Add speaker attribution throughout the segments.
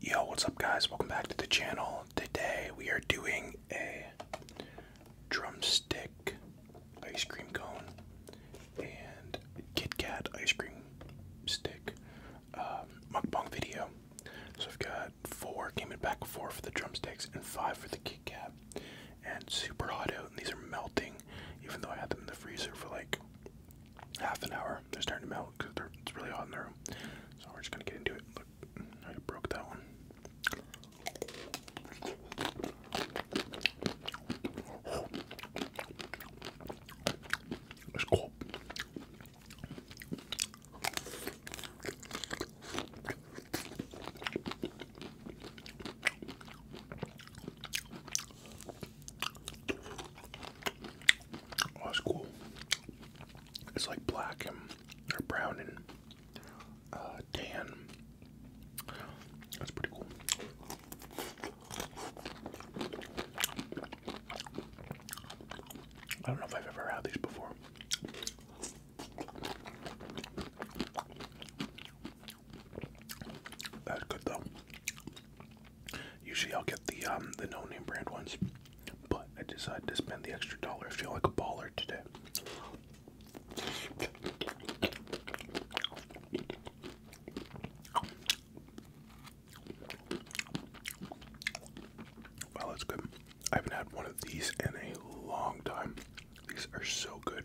Speaker 1: Yo, what's up guys? Welcome back to the channel. Today we are doing a drumstick ice cream cone and Kit Kat ice cream stick um, mukbang video. So I've got four, coming in back four for the drumsticks and five for the Kit Kat. And super hot out and these are melting even though I had them in the freezer for like half an hour. They're starting to melt it's really hot in the room. So we're just gonna get into it. Look, I broke that one. It's cold. Oh, that's cool. It's like black and brown and uh, tan. That's pretty cool. I don't know if I've ever had these before. That's good though. Usually I'll get the um the no name brand ones, but I decided to spend the extra dollar. I feel like a baller today. Well, that's good. I haven't had one of these in a long time. These are so good.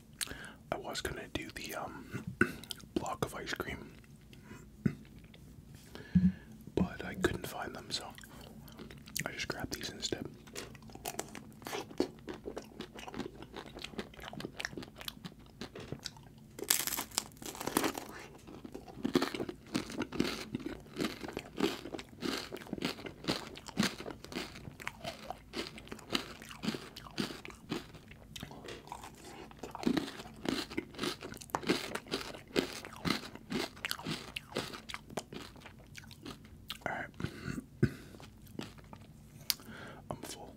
Speaker 1: I was gonna do the um, block of ice cream, but I couldn't find them, so I just grabbed these instead. All right. I'm full.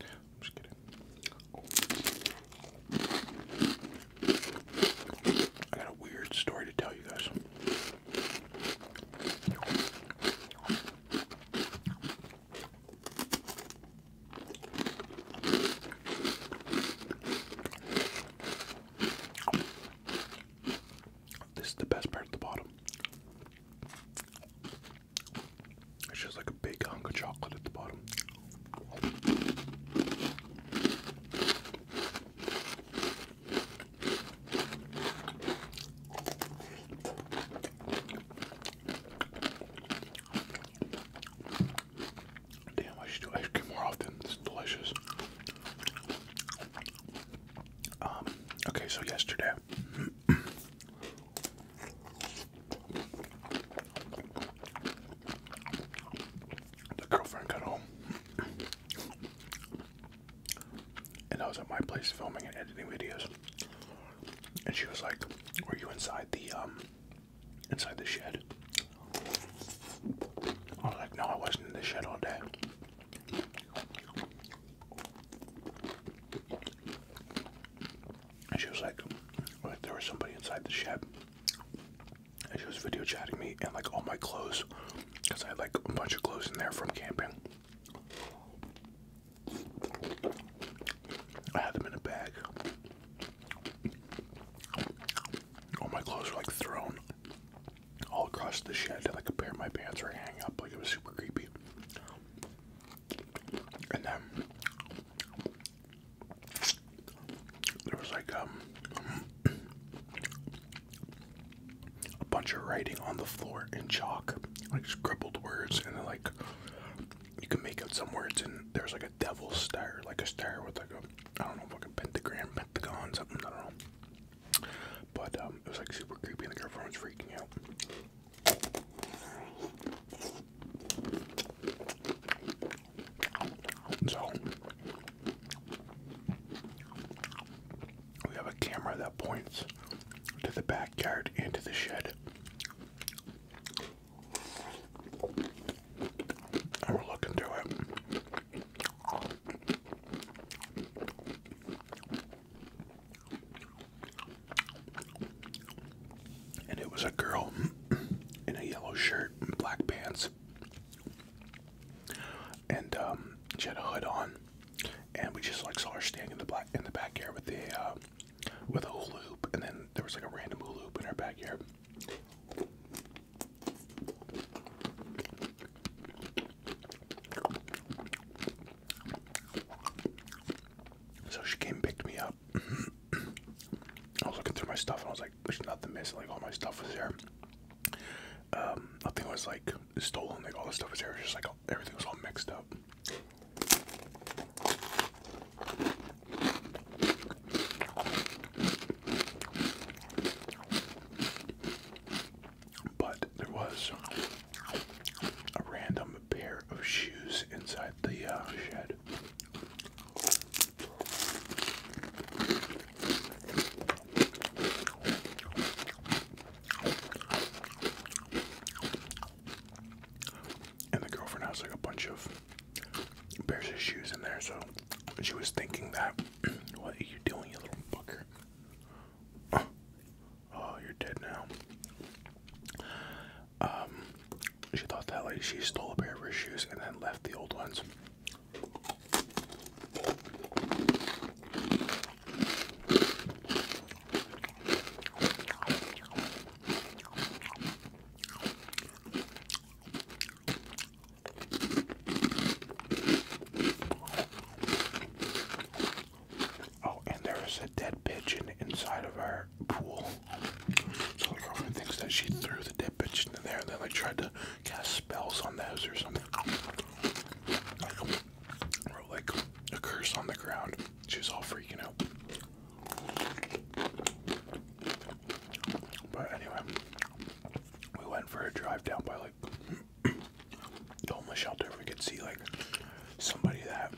Speaker 1: I'm just kidding. I got a weird story to tell you guys. This is the best part at the bottom. It's just like a big hunk of chocolate at the bottom. Damn, I should do ice cream more often. It's delicious. Um, okay, so yesterday. The girlfriend got home and I was at my place filming and editing videos. And she was like, "Were you inside the um, inside the shed?" I was like, "No, I wasn't in the shed all day." And she was like, well, "There was somebody inside the shed." And she was video chatting me and like all my clothes, cause I had like a bunch of clothes in there from camping. I had them in a bag. All my clothes were like thrown all across the shed. Like a pair of my pants were hanging up. Like it was super creepy. And then there was like um a bunch of writing on the floor in chalk, like scribbled words, and like you can make out some words. And there's like a devil's star, like a star with like a I don't know, like a pentagram, pentagon, something. I don't know. But um, it was like super creepy, and the like, was freaking out. So we have a camera that points to the backyard and to the shed. And we're looking through it. And it was a girl in a yellow shirt and black pants. And um, she had a hood on and we just like saw her standing in the black in the backyard with the uh, with a hula hoop, and then there was like a random hula hoop in our backyard. So she came picked me up. I was looking through my stuff and I was like, there's nothing missing. Like all my stuff was there. Um, nothing was like stolen. Like all the stuff was there. just like everything was all mixed up. But there was a random pair of shoes inside the uh, shed. And the girlfriend has like a bunch of pairs of shoes in there, so she was thinking that, what are you doing, you little fucker? Oh, you're dead now. Um, she thought that like she stole a pair of her shoes and then left the old ones. Oh, and there is a dead pigeon inside of our pool. So my girlfriend thinks that she threw the dead pigeon in there and then like tried to cast spells on those or something wrote like a curse on the ground. She's all freaking out. But anyway, we went for a drive down by like homeless shelter. We could see like somebody that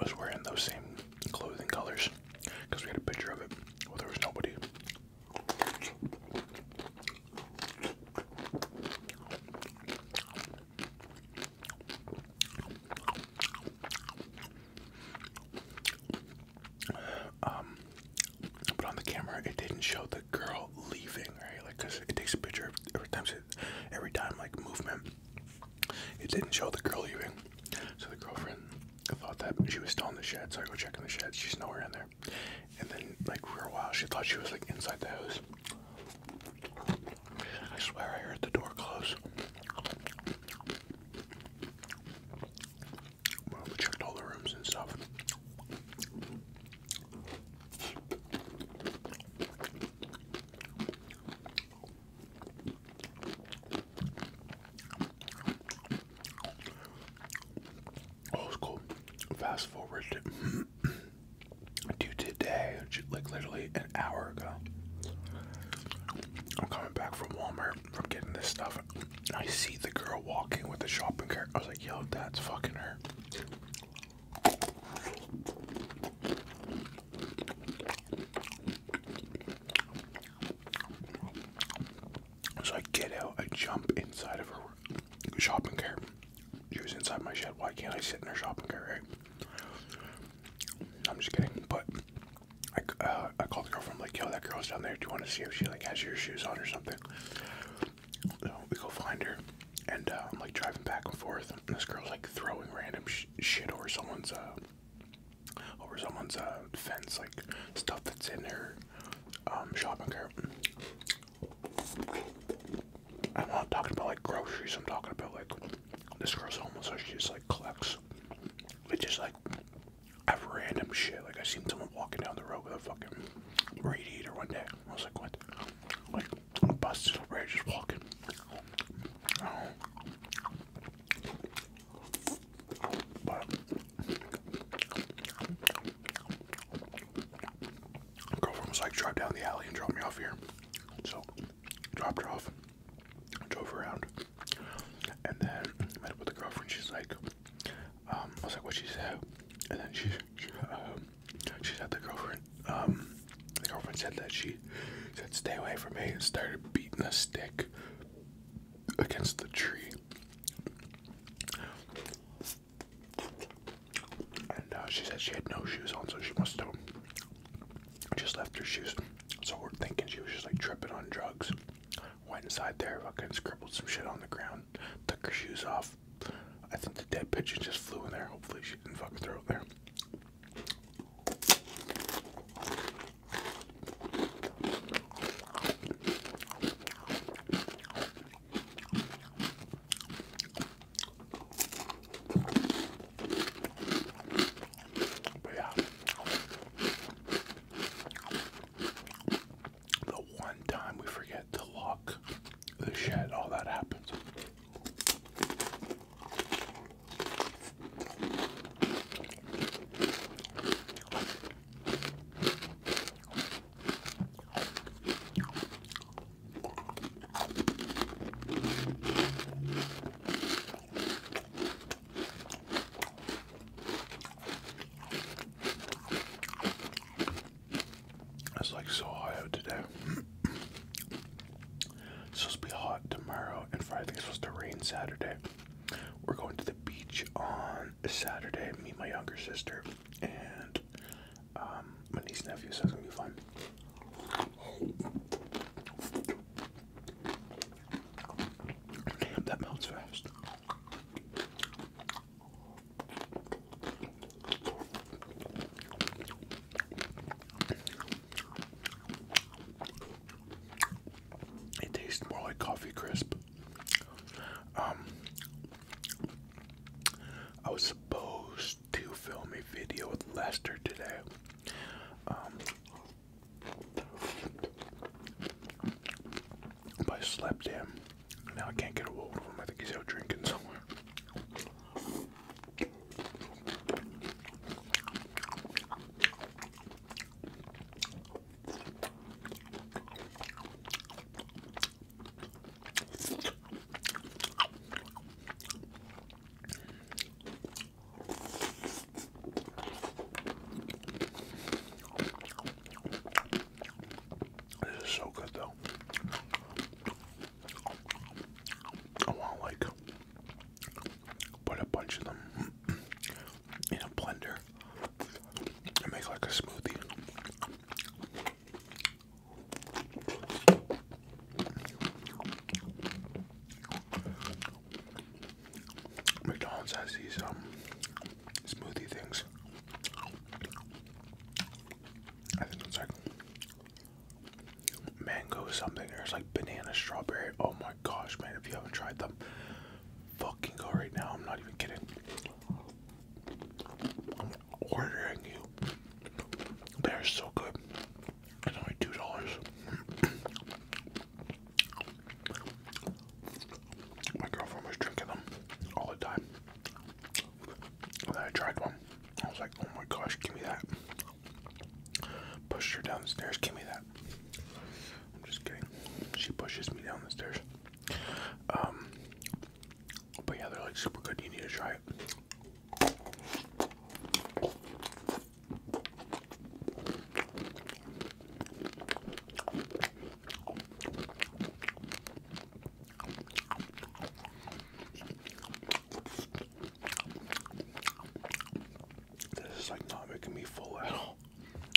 Speaker 1: was wearing those same clothing colors because we had a picture of it. Well, there was nobody. Um, but on the camera, it didn't show the girl leaving, right? Like, cause it takes a picture every time, every time, like movement. It didn't show the girl leaving, so the girlfriend thought that she was still in the shed. So I go checking the shed. She's nowhere in there. And then, like, for a while, she thought she was, like, inside the house. I swear I heard the door close. we checked all the rooms and stuff. Oh, it's cool. Fast forward due today, like literally an hour ago. I'm coming back from Walmart from getting this stuff. I see the girl walking with the shopping cart. I was like, yo, that's fucking her. So I get out, I jump inside of her shopping cart. She was inside my shed. Why can't I sit in her shopping cart, I'm just kidding. But I, uh, I called the girlfriend. I'm like, yo, that girl's down there. Do you want to see if she like has your shoes on or something? we go find her. And uh, I'm like driving back and forth. this girl's like throwing random shit over someone's, uh, over someone's fence. Like stuff that's in her um, shopping cart. I'm not talking about like groceries, I'm talking about like this girl's homeless, so she just like collects. We just like have random shit. Like I seen someone walking down the road with a fucking radiator one day. I was like, what? Like on a bus just just walking. But Girlfriend was like, drive down the alley and drop me off here. So, dropped her off, drove around, and then met up with the girlfriend. She's like, um, was like, what she said, and then she, she, um, the girlfriend, um, the girlfriend said that she said, stay away from me, and started beating a stick against the tree. And uh, she said she had no shoes on, so she must have just left her shoes. So we're thinking she was just like tripping on drugs. Went inside there, fucking scribbled some shit on the ground, took her shoes off. I think the dead pigeon just flew in there. Hopefully she didn't fucking throw it there. But yeah, the one time we forget to lock the shed, all that happens. It's like so hot today. it's supposed to be hot tomorrow and Friday. I think it's supposed to rain Saturday. We're going to the beach on Saturday. Me and my younger sister and um, my niece and nephew, says it'll be fun. Damn, that melts fast. It tastes more like coffee crisp um, I was supposed to film a video with Lester today. Um, but I slept in. Now I can't get a hold of him. I think he's out drinking somewhere. This is so good though. I want like put a bunch of them in a blender and make like a smoothie. McDonald's has these um smoothie things. I think it's like mango something. There's like banana, strawberry. Oh my gosh, man! If you haven't tried them, fucking go right now. I'm not even kidding. I'm ordering you. They're so good. It's only two dollars. My girlfriend was drinking them all the time. then I tried one. I was like, oh my gosh, give me that. Pushed her down the stairs, give me that. I'm just kidding. She pushes me down the stairs. Um, but yeah, they're like super good. You need to try it. This is like not making me full at all.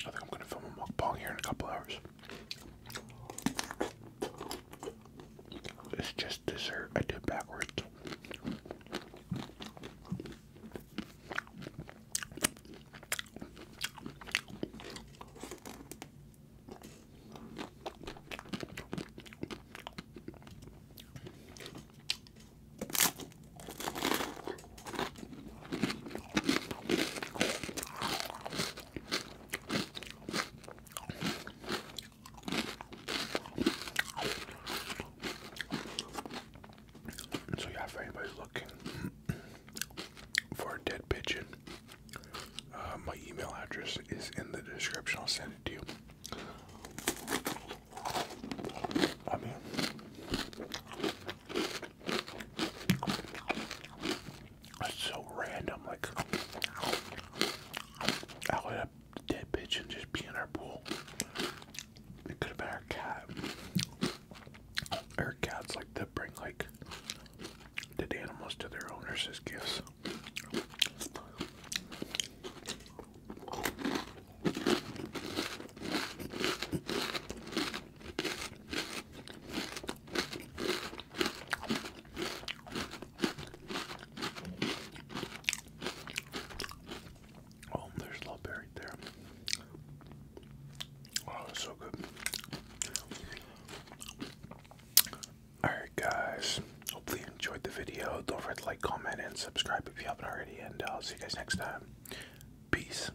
Speaker 1: I think I'm gonna film a mukbang here in a couple hours. It's just dessert. I did backwards. So yeah, if anybody's looking for a dead pigeon, uh, my email address is in the description. I'll send it to you. I mean, that's so random, like I would have dead pigeon just be in our pool? It could have been our cat. Our cats like to bring like dead animals to their owners as gifts. Oh, there's love buried there. Oh, it's so good. Alright, guys. Hopefully enjoyed the video. Don't forget to like, comment, and subscribe if you haven't already. And uh, I'll see you guys next time. Peace.